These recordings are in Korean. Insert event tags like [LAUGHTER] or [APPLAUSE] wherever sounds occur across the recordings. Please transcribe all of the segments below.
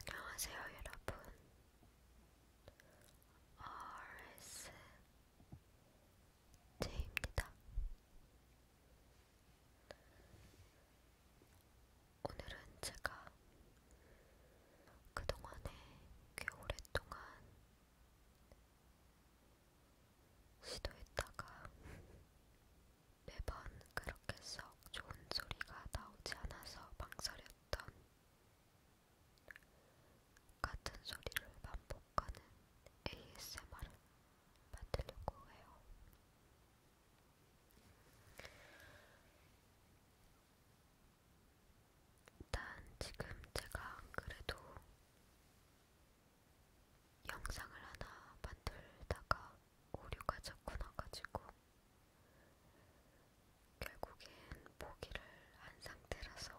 안녕하세요, 여러분. RSJ입니다. 오늘은 제가 그동안에 꽤 오랫동안 시도했다가 매번 그렇게 썩 좋은 소리가 나오지 않아서 망설였던 같은 소리를 반복하는 ASMR을 만들려고 해요. 일단 지금 제가 안 그래도 영상을 하나 만들다가 오류가 자꾸 나가지고 결국엔 포기를 한 상태라서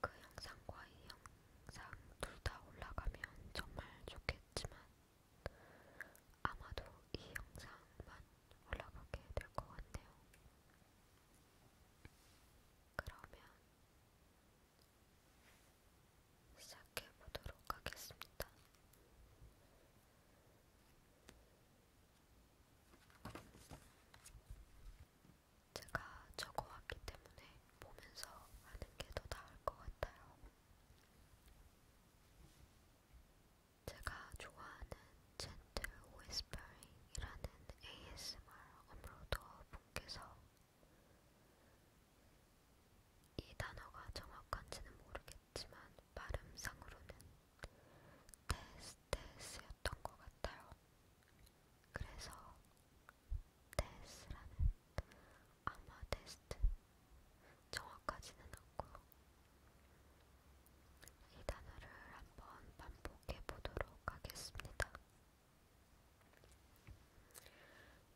그 영상과 이 영상 둘 다 올라가면 정말 좋겠지만 아마도 이 영상만 올라가게 될 것 같네요. 그러면 시작해 보도록 하겠습니다. 제가 적어왔기 때문에 보면서 하는 게 더 나을 것 같아요. 제가 좋아하는 젠틀 웨스퍼링이라는 ASMR 업로더 분께서 이 단어가 정확한지는 모르겠지만 발음상으로는 데스데스였던 것 같아요. 그래서 데스라는 아마 데스트 정확하지는 않고 이 단어를 한번 반복해 보도록 하겠습니다.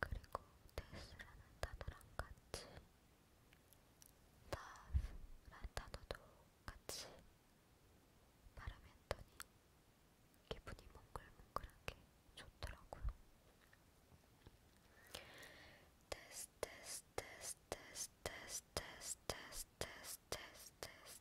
그리고 데스라는 단어랑 같이 love라는 단어도 같이 발음했더니 기분이 몽글몽글하게 좋더라고요. 데스 데스 데스 데스 데스 데스 데스 데스 데스 데스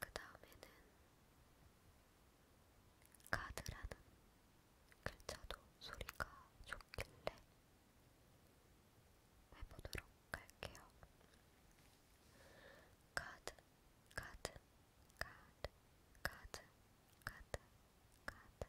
그 다음에는 카드라는 글자도 소리가 좋길래 해보도록 할게요. 카드, 카드, 카드, 카드, 카드, 카드, 카드,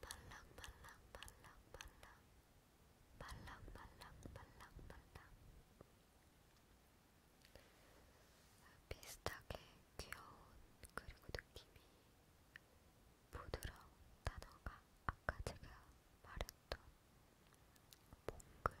발랑발랑발랑발랑 발랑발랑발랑발랑 비슷하게 귀여운 그리고 느낌이 부드러운 단어가 아까 제가 말했던 몽글 몽글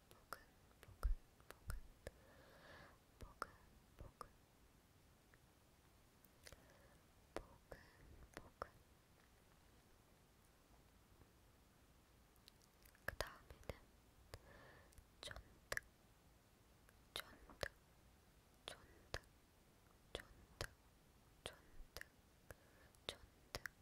그 다음에는 쫀득, 쫀득, 쫀득, 쫀득, 쫀득, 쫀득,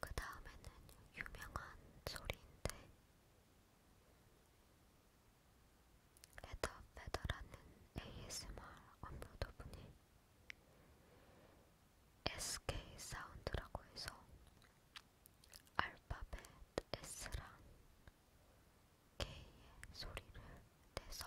그 다음에는 유명한 소리인데 에더 페더라는 ASMR 업로더 분이 SK 사운드라고 해서 알파벳 S랑 K의 소리를 내서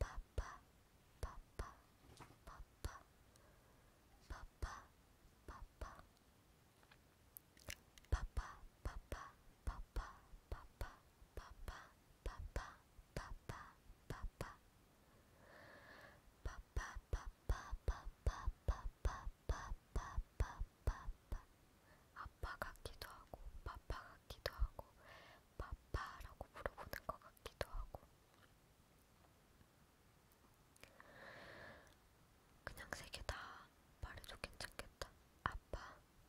파파 파파 파파 파파 파파 파파 파파 파파 파파 파파 파파 파파 파파 아빠 같기도 하고, 파파 같기도 하고, 바빠라고 물어보는 것 같기도 하고 그냥 세 개 다 말해도 괜찮겠다 아빠,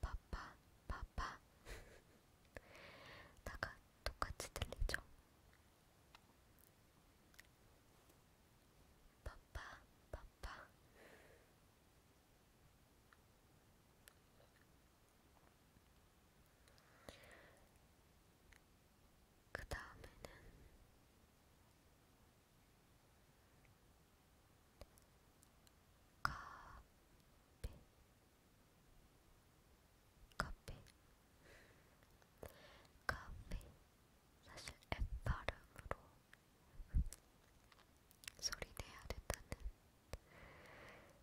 바빠, 바빠 [LAUGHS] 다가 똑같이 들리죠? 바빠, 바빠 그 다음에는 커피, 커피, 커피. 사실 F 발음으로 소리 내야 된다는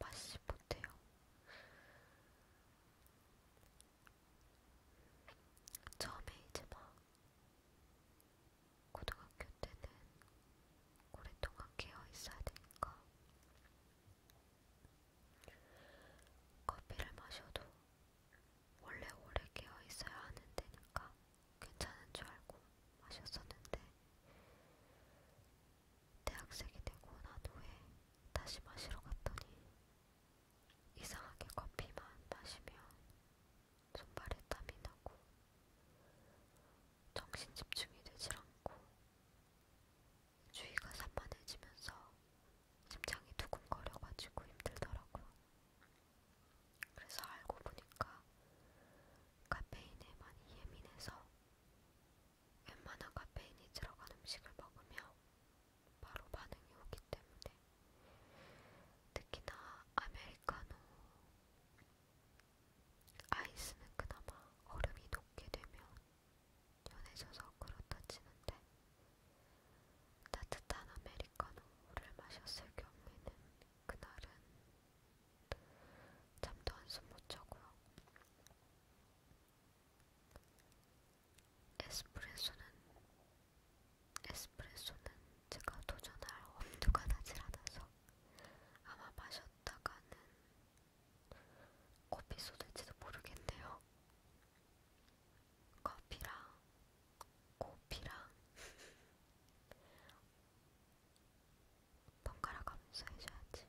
맛이 못해요. 처음에 이제 막 고등학교 때는 오랫동안 깨어 있어야 되니까 커피를 마셔도 원래 오래 깨어 있어야 하는 데니까 괜찮은 줄 알고 마셨었는데 대학생이 되고 난 후에 다시 마시러 갔더니 이상하게 커피만 마시면 손발에 땀이 나고 정신 집중이 되질 않고 주위가 산만해지면서 심장이 두근거려가지고 힘들더라고요. 그래서 알고 보니까 카페인에 많이 예민해서 웬만한 카페인이 들어간 음식을 먹으면 바로 반응이 오기 때문에 특히나 아메리카노 아이스는 그나마 얼음이 녹게 되면 연해져서 그렇다 치는데 따뜻한 아메리카노를 마셨을 경우에는 그날은 잠도 한숨 못 자고요. 에스프레소는 에스프레소는 제가 도전할 엄두가 나질 않아서 아마 마셨다가는 커피 쏟을지도 모르겠네요. 커피랑 커피랑 [LAUGHS] 번갈아 가면서 해줘야지.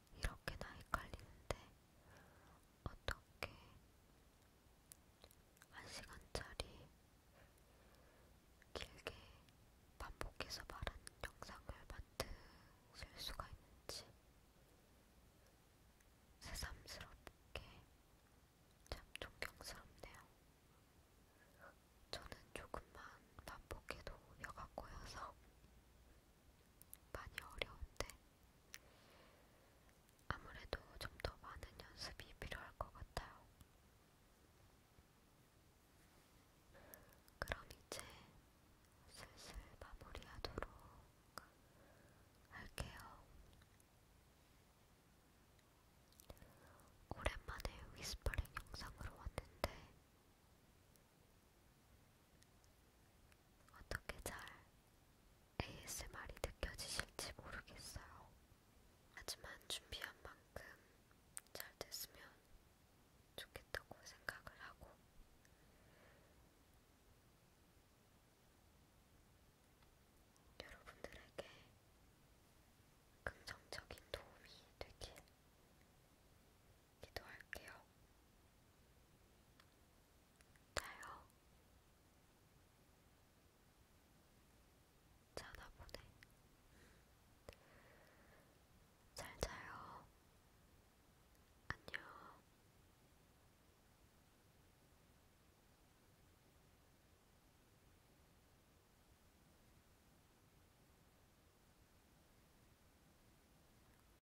이렇게나 헷갈리는데 어떻게 한 시간짜리 길게 반복해서 말하는 영상을 만드실 수가 있는지 새삼스럽게 참 존경스럽네요. 저는 조금만 반복해도 혀가 꼬여서 많이 어려운데 아무래도 좀 더 많은 연습이 필요할 것 같아요. 그럼 이제 슬슬 마무리하도록 할게요. 오랜만에 위스퍼링 영상으로 왔는데 어떻게 잘 ASMR이 느껴지실지 모르겠어요. 하지만 준비한 만큼 잘 됐으면 좋겠다고 생각을 하고, 여러분들에게 긍정적인 도움이 되길 기도할게요. 자요. 자나 보네. 잘 자요. 안녕.